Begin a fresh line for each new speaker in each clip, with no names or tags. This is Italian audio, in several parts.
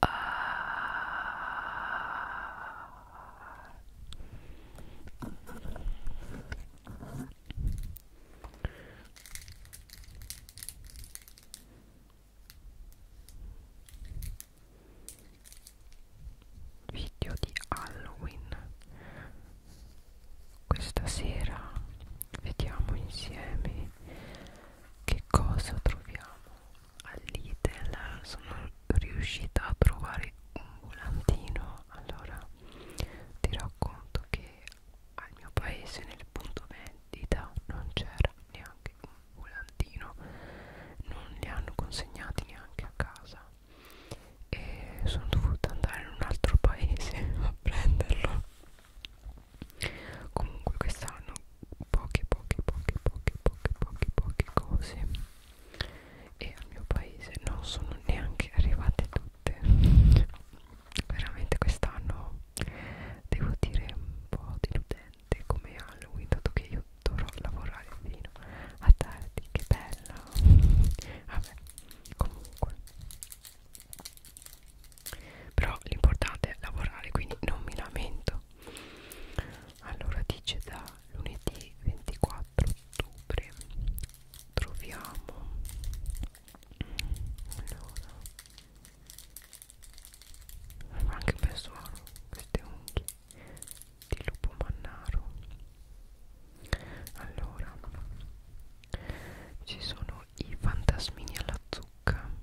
Ah. video di Halloween questa sera vediamo insieme che cosa troviamo all'Idel sono riuscita a trovare un volantino allora ti racconto che al mio paese nel punto vendita non c'era neanche un volantino non li hanno consegnati neanche a casa e sono dovuta andare in un altro paese a prenderlo comunque quest'anno poche poche poche poche poche poche poche cose e al mio paese non sono neanche arrivate tutte veramente quest'anno devo dire un po' deludente come Halloween dato che io dovrò lavorare fino a tardi che bella vabbè comunque però l'importante è lavorare quindi non mi lamento allora dice da lunedì 24 ottobre troviamo allora fa anche un bel suono queste unghie di lupo mannaro allora ci sono i fantasmini alla zucca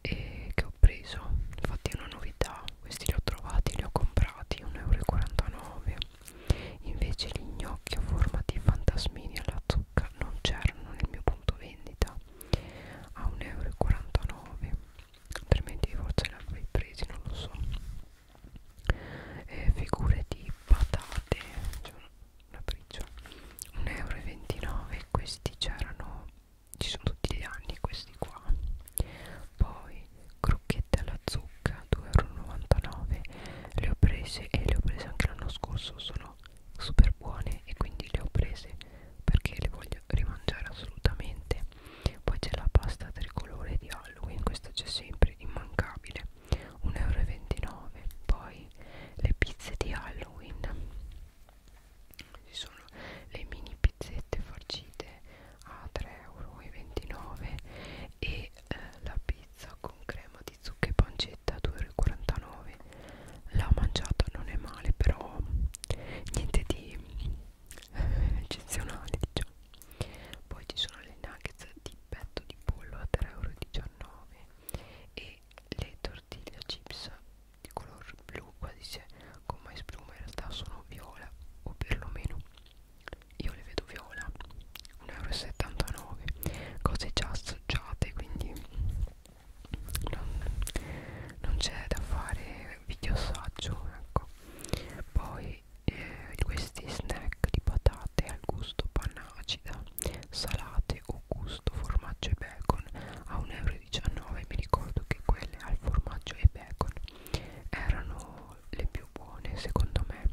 e che ho preso infatti è una novità questi li ho trovati li ho comprati 1,49 invece gli gnocchi a forma di fantasmini alla zucca non c'erano nel mio punto vendita a 1,49 altrimenti forse li avrei presi non lo so eh, figure di patate cioè una briccia 1,29 euro questi c'erano ci sono tutti gli anni questi qua poi crocchette alla zucca 2,99€ le ho prese e le ho prese anche l'anno scorso sono super buone e quindi le ho prese perché le voglio rimangiare assolutamente poi c'è la pasta tricolore di Halloween questa c'è sempre immancabile 1,29€ poi le pizze di Halloween ci sono le mini pizzette farcite a 3,29 euro e eh, la pizza con crema di zucca e pancetta a 2,49 euro la mangiata non è male però niente di eh, eccezionale diciamo poi ci sono le nuggets di petto di pollo a 3,19 euro e le tortilla chips di color blu qua dice gomma e spluma in realtà sono viola o perlomeno io le vedo viola 1,79 euro cose già assaggiate quindi non, non c'è da fare video assaggio ecco poi eh, questi snack di patate al gusto panna acida salate o gusto formaggio e bacon a 1,79 euro 19 mi ricordo che quelle al formaggio e bacon erano le più buone secondo me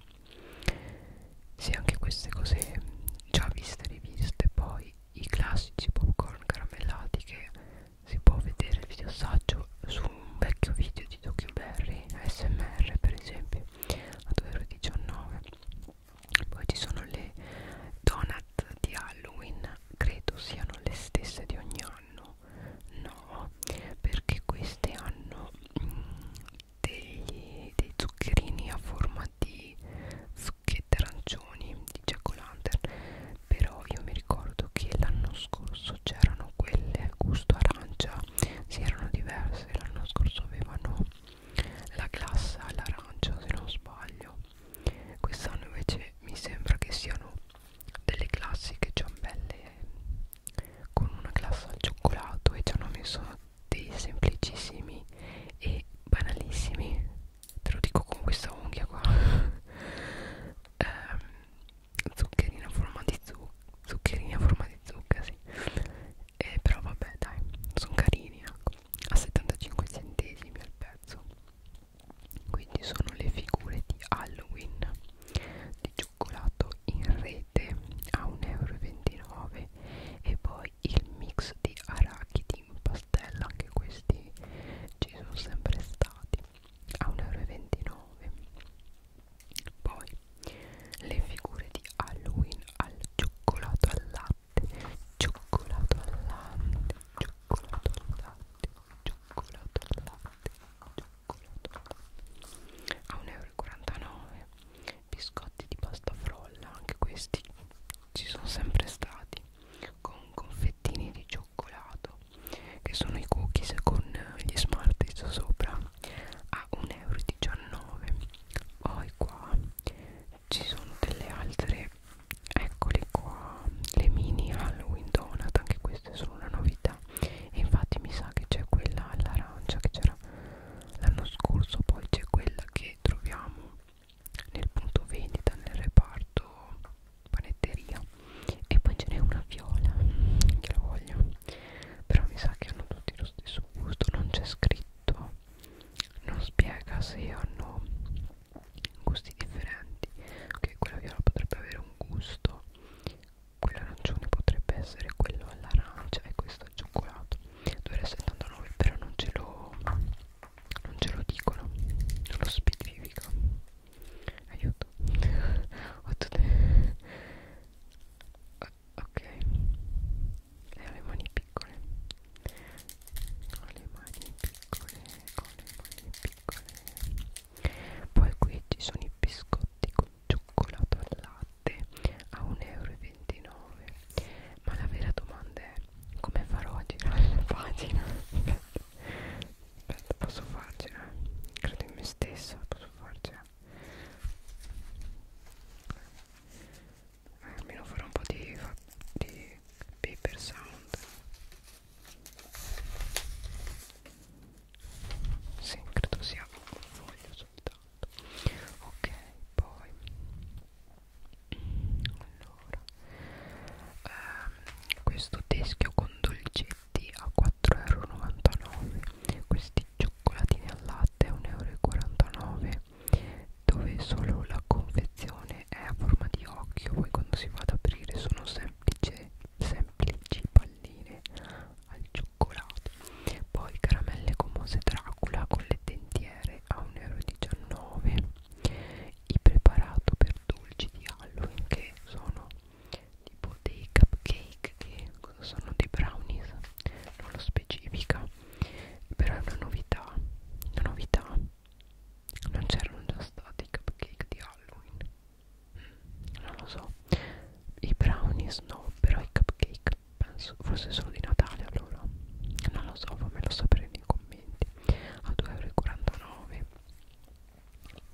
sì anche queste cose già viste riviste poi i classici popcorn caramellati che si può vedere il video assaggio su un vecchio video di Docuberry ASMR per esempio a 2,19 poi ci sono le donut di Halloween credo siano le stesse di ogni anno no perché queste hanno mm, degli, dei zuccherini a forma di zucchette arancioni di jack o' lantern però io mi ricordo che l'anno scorso c'erano quelle gusto arancia si erano diverse l'anno scorso avevano la glassa all'arancia se non sbaglio quest'anno invece mi sembra che siano delle classiche ciambelle eh, con una glassa al cioccolato e ci hanno messo dei semplicissimi e banalissimi te lo dico con questa unghia qua ehm, zuccherina a forma di zucchero zuccherina a forma di zucca sì eh, però vabbè dai sono carini ecco. a 75 centesimi al pezzo quindi sono le figure di Halloween di cioccolato in rete a 1,29€ e poi il mix di arachidi in pastella anche questi ci sono sempre stati a 1,29€ poi le figure di Halloween al cioccolato al latte Cioccolato al latte, cioccolato al latte, cioccolato al latte, cioccolato al latte. A 1,49 euro. Biscotti di pasta frolla, anche questi ci sono sempre stati. Con confettini di cioccolato, che sono i cookies con gli smalti sopra. A 1,19 euro. Poi qua ci sono delle altre eccole qua le mini halloween donut anche queste sono una novità e infatti mi sa che c'è quella all'arancia che c'era l'anno scorso poi c'è quella che troviamo nel punto vendita nel reparto panetteria e poi ce n'è una viola che la voglio però mi sa che hanno tutti lo stesso gusto non c'è scritto non spiega se hanno gusti differenti ok quella viola potrebbe avere un gusto quello arancione potrebbe essere quello all'arancia e questo al cioccolato 2,79 però non ce lo non ce lo dicono non lo specifico aiuto ho tutte ok e ho le mani piccole con le mani piccole con le mani piccole poi qui ci sono i biscotti con cioccolato al latte a 1,29 euro ma la vera domanda è come farò a girare la pagina aspetta posso farcela credo in me stessa posso farcela almeno farò un po' di, di paper sound sì, credo sia un foglio soltanto ok, poi allora ehm, questo teschio con dolcetti a 4,99 euro questi cioccolatini al latte a 1,49 euro dove solo la confezione è a forma di occhio poi quando si va ad aprire sono semplice, semplici palline al cioccolato poi caramelle commose Dracula con le dentiere a 1,19 euro i preparato per dolci di Halloween che sono tipo dei cupcake che sono dei brownies non lo specifica però è una novità una novità non c'erano già stati i cupcake di Halloween mm, non lo so i brownies no però i cupcake penso forse sono di Natale allora non lo so fammelo sapere nei commenti a 2,49€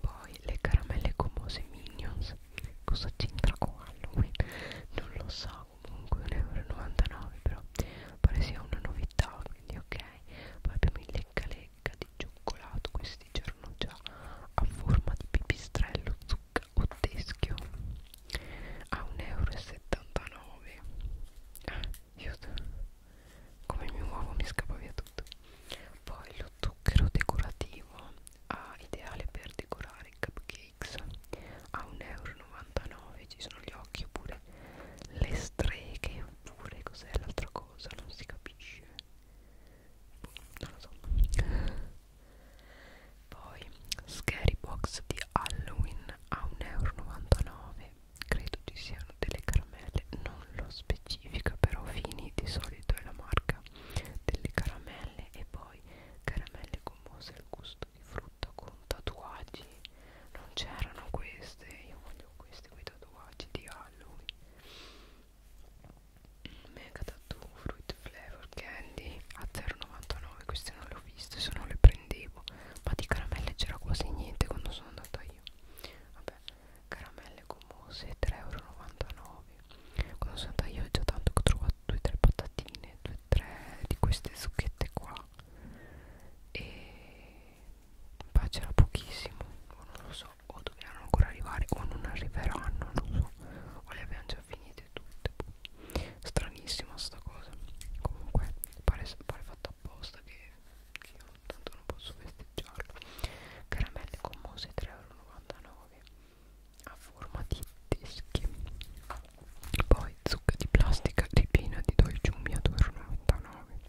poi le caramelle gomose minions cosa c'entra con Halloween non lo so comunque 1,99€ però pare sia una novità quindi ok poi abbiamo il lecca lecca di cioccolato questi c'erano già a forma di pipistrello zucca o teschio a 1,79 euro ah, io come mi muovo mi scappa via tutto poi lo zucchero decorativo ah, ideale per decorare i cupcakes a 1,99 euro 99 ci sono gli occhi oppure le streghe oppure cos'è l'altra cosa non si capisce boh, non lo so poi scary box di halloween a 1,99€ credo ci siano delle caramelle non lo specifica però fini di solito è la marca delle caramelle e poi caramelle gommose al gusto di frutta foto con tatuaggi non c'erano queste io voglio questi quei tatuaggi di Halloween mega tattoo fruit flavor candy a 0,99 queste non le ho viste se no le prendevo ma di caramelle c'era quasi niente quando sono andata io vabbè caramelle gommose 3,99 quando sono andata io ho già tanto che ho trovato 2-3 patatine 2-3 di queste zucchette qua e ma c'era pochissimo non lo so o dovranno ancora arrivare o non arriveranno non so o le abbiamo già finite tutte stranissima sta cosa comunque pare, pare fatto apposta che, che io tanto non posso festeggiarlo caramelle con mose 3,99 a forma di dischi poi zucca di plastica ripiena di dolciumi a 2,99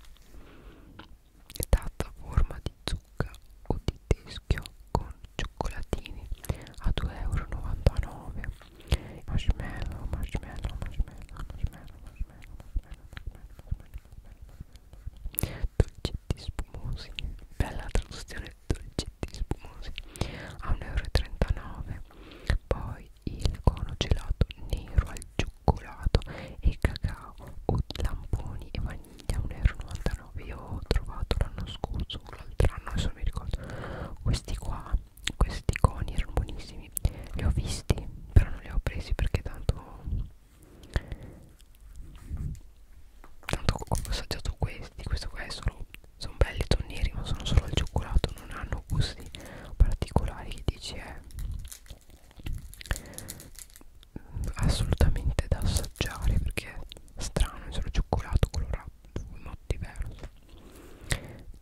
è data a forma di zucca o di teschio con cioccolatini a 2,99 euro marshmallow marshmallow marshmallow marshmallow marshmallow marshmallow marshmallow dolcetti spumosi bella traduzione dolcetti spumosi a 1,39 euro poi il cono gelato nero al giù cioccolato e cacao o lamponi e vaniglia 1,99 euro io ho trovato l'anno scorso l'altro anno adesso non mi ricordo questi qua questi coni erano buonissimi li ho visti però non li ho presi perché tanto tanto ho assaggiato questi questo qua è solo sono belli tonneri ma sono solo al cioccolato non hanno gusti particolari che dici eh assolutamente da assaggiare perché è strano, è solo cioccolato colorato in modo diverso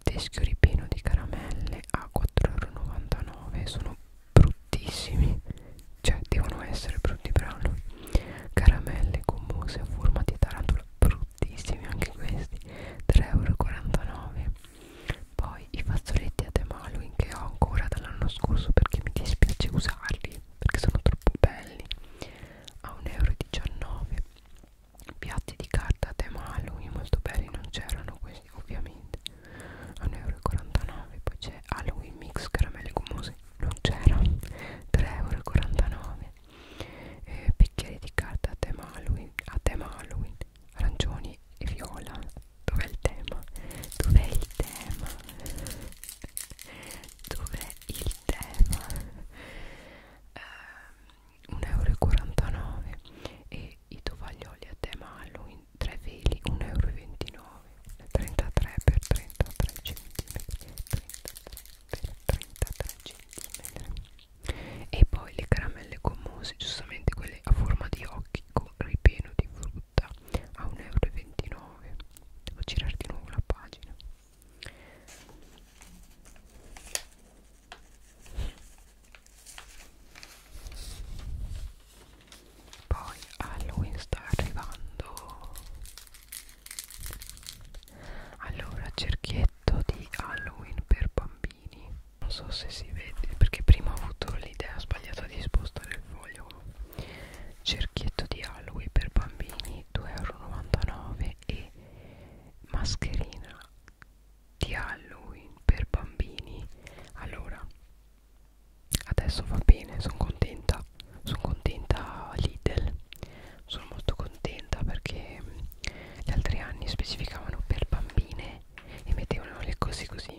teschio ripieno di caramelle a 4,99€ sono bruttissimi cioè devono essere brutti brano caramelle con mousse a forma di tarantola bruttissimi anche questi 3,49€ poi i fazzoletti ad Halloween che ho ancora dall'anno scorso perché mi dispiace usarli perché sono troppo belli a 1,19 euro piatti di carta a tema Halloween molto belli non c'erano questi ovviamente a 1,49 euro poi c'è Halloween mix caramelle gommose non c'era 3,49 euro eh, bicchieri di carta a tema Halloween a tema Halloween arancioni e viola dov'è il tema? dov'è il tema? dov'è il tema? Ehm, uh, 1,49 euro e i tovaglioli a tema Halloween 3 veli 1,29 euro 33 per 33 cm 33 per 33 cm e poi le caramelle gommose giustamente quelle a forma di occhi con ripieno di frutta a 1,29 euro devo girare di nuovo la pagina poi Halloween sta arrivando allora cerchietto di Halloween per bambini non so se si vede perché prima ho avuto l'idea sbagliata di spostare il foglio cerchietto di Halloween per bambini 2,99€ e mascherina di Halloween per bambini allora adesso va bene sono contenta sono contenta Lidl sono molto contenta perché gli altri anni specificavano per bambine e mettevano le cose così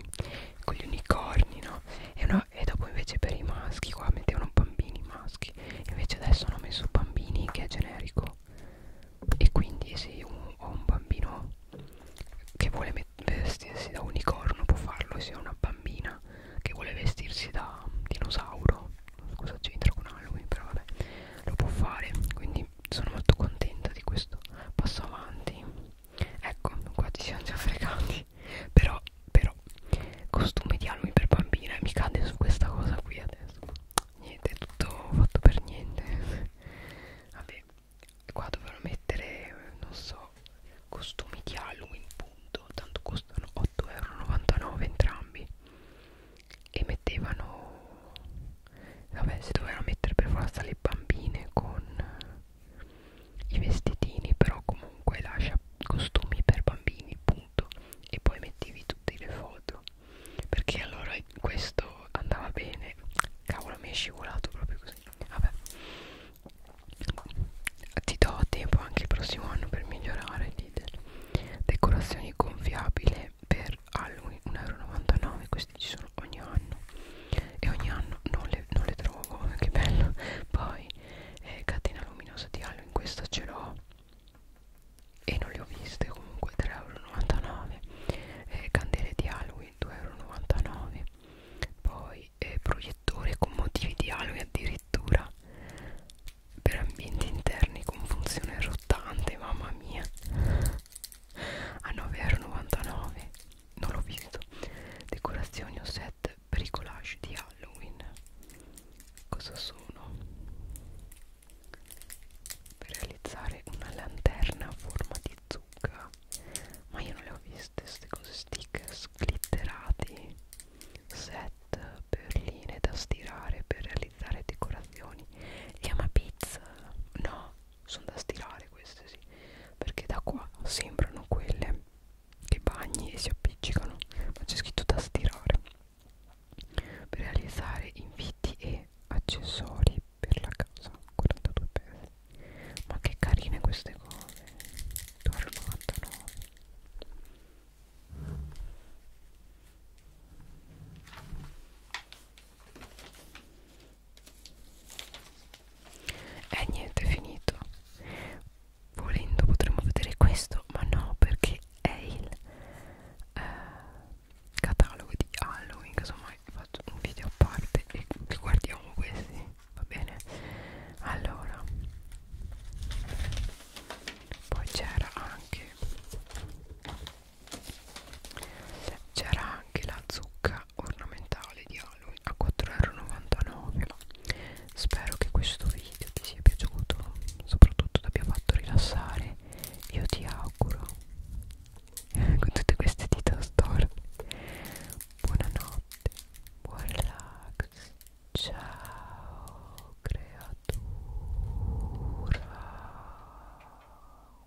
con gli unicorni no e, una, e dopo invece per i maschi qua mettevano bambini maschi invece adesso hanno messo bambini che è generico e quindi se io ho un bambino che vuole vestirsi da unicorno può farlo se ho una bambina che vuole vestirsi da dinosauro cosa c'entra con Halloween però vabbè lo può fare quindi quindi sono molto contenta di questo passo avanti ecco qua ci siamo già fregati però però costume di almi per bambina mi cade su questa cosa qui adesso niente tutto fatto per niente vabbè qua dovrò mettere non so costumi di Halloween punto tanto costano 8,99 euro entrambi e mettevano vabbè si dovevano mettere per forza le bambine con eh, i vestitini però comunque lascia costumi per bambini punto e poi mettivi tutte le foto perché allora questo andava bene cavolo mi è scivolato proprio così vabbè ti do tempo anche il prossimo anno per migliorare l'idea decorazioni gonfiabile per Halloween 1,99€ questi ci sono ogni anno e ogni anno non le, non le trovo che bello poi eh, catena luminosa di Halloween questa ce l'ho e non le ho viste comunque 3,99€ eh, candele di Halloween 2,99€ poi eh, proiettore con motivi di Halloween addirittura per ambienti interni con funzione rotante mamma mia a 9,99€ non l'ho visto decorazioni o set bricolage di Halloween cosa sono? per realizzare una lanterna a forma di zucca ma io non le ho viste queste cose stickers glitterati set perline da stirare per realizzare decorazioni e una pizza no sono da stirare queste sì perché da qua sembrano quelle che bagni e si appiccicano ma c'è scritto da stirare per realizzare inviti e accessori per la casa 42 pezzi ma che carine queste cose 2,99 e niente, è finito. Volendo potremmo vedere questo, ma no, perché è il eh, catalogo di Halloween. Casomai faccio un video a parte e guardiamo questi, va bene? Allora, poi c'era anche c'era anche la zucca ornamentale di Halloween a 4,99€ spero che questo video ti sia piaciuto soprattutto ti abbia fatto rilassare io ti auguro con tutte queste dita storte buonanotte buon relax ciao creatura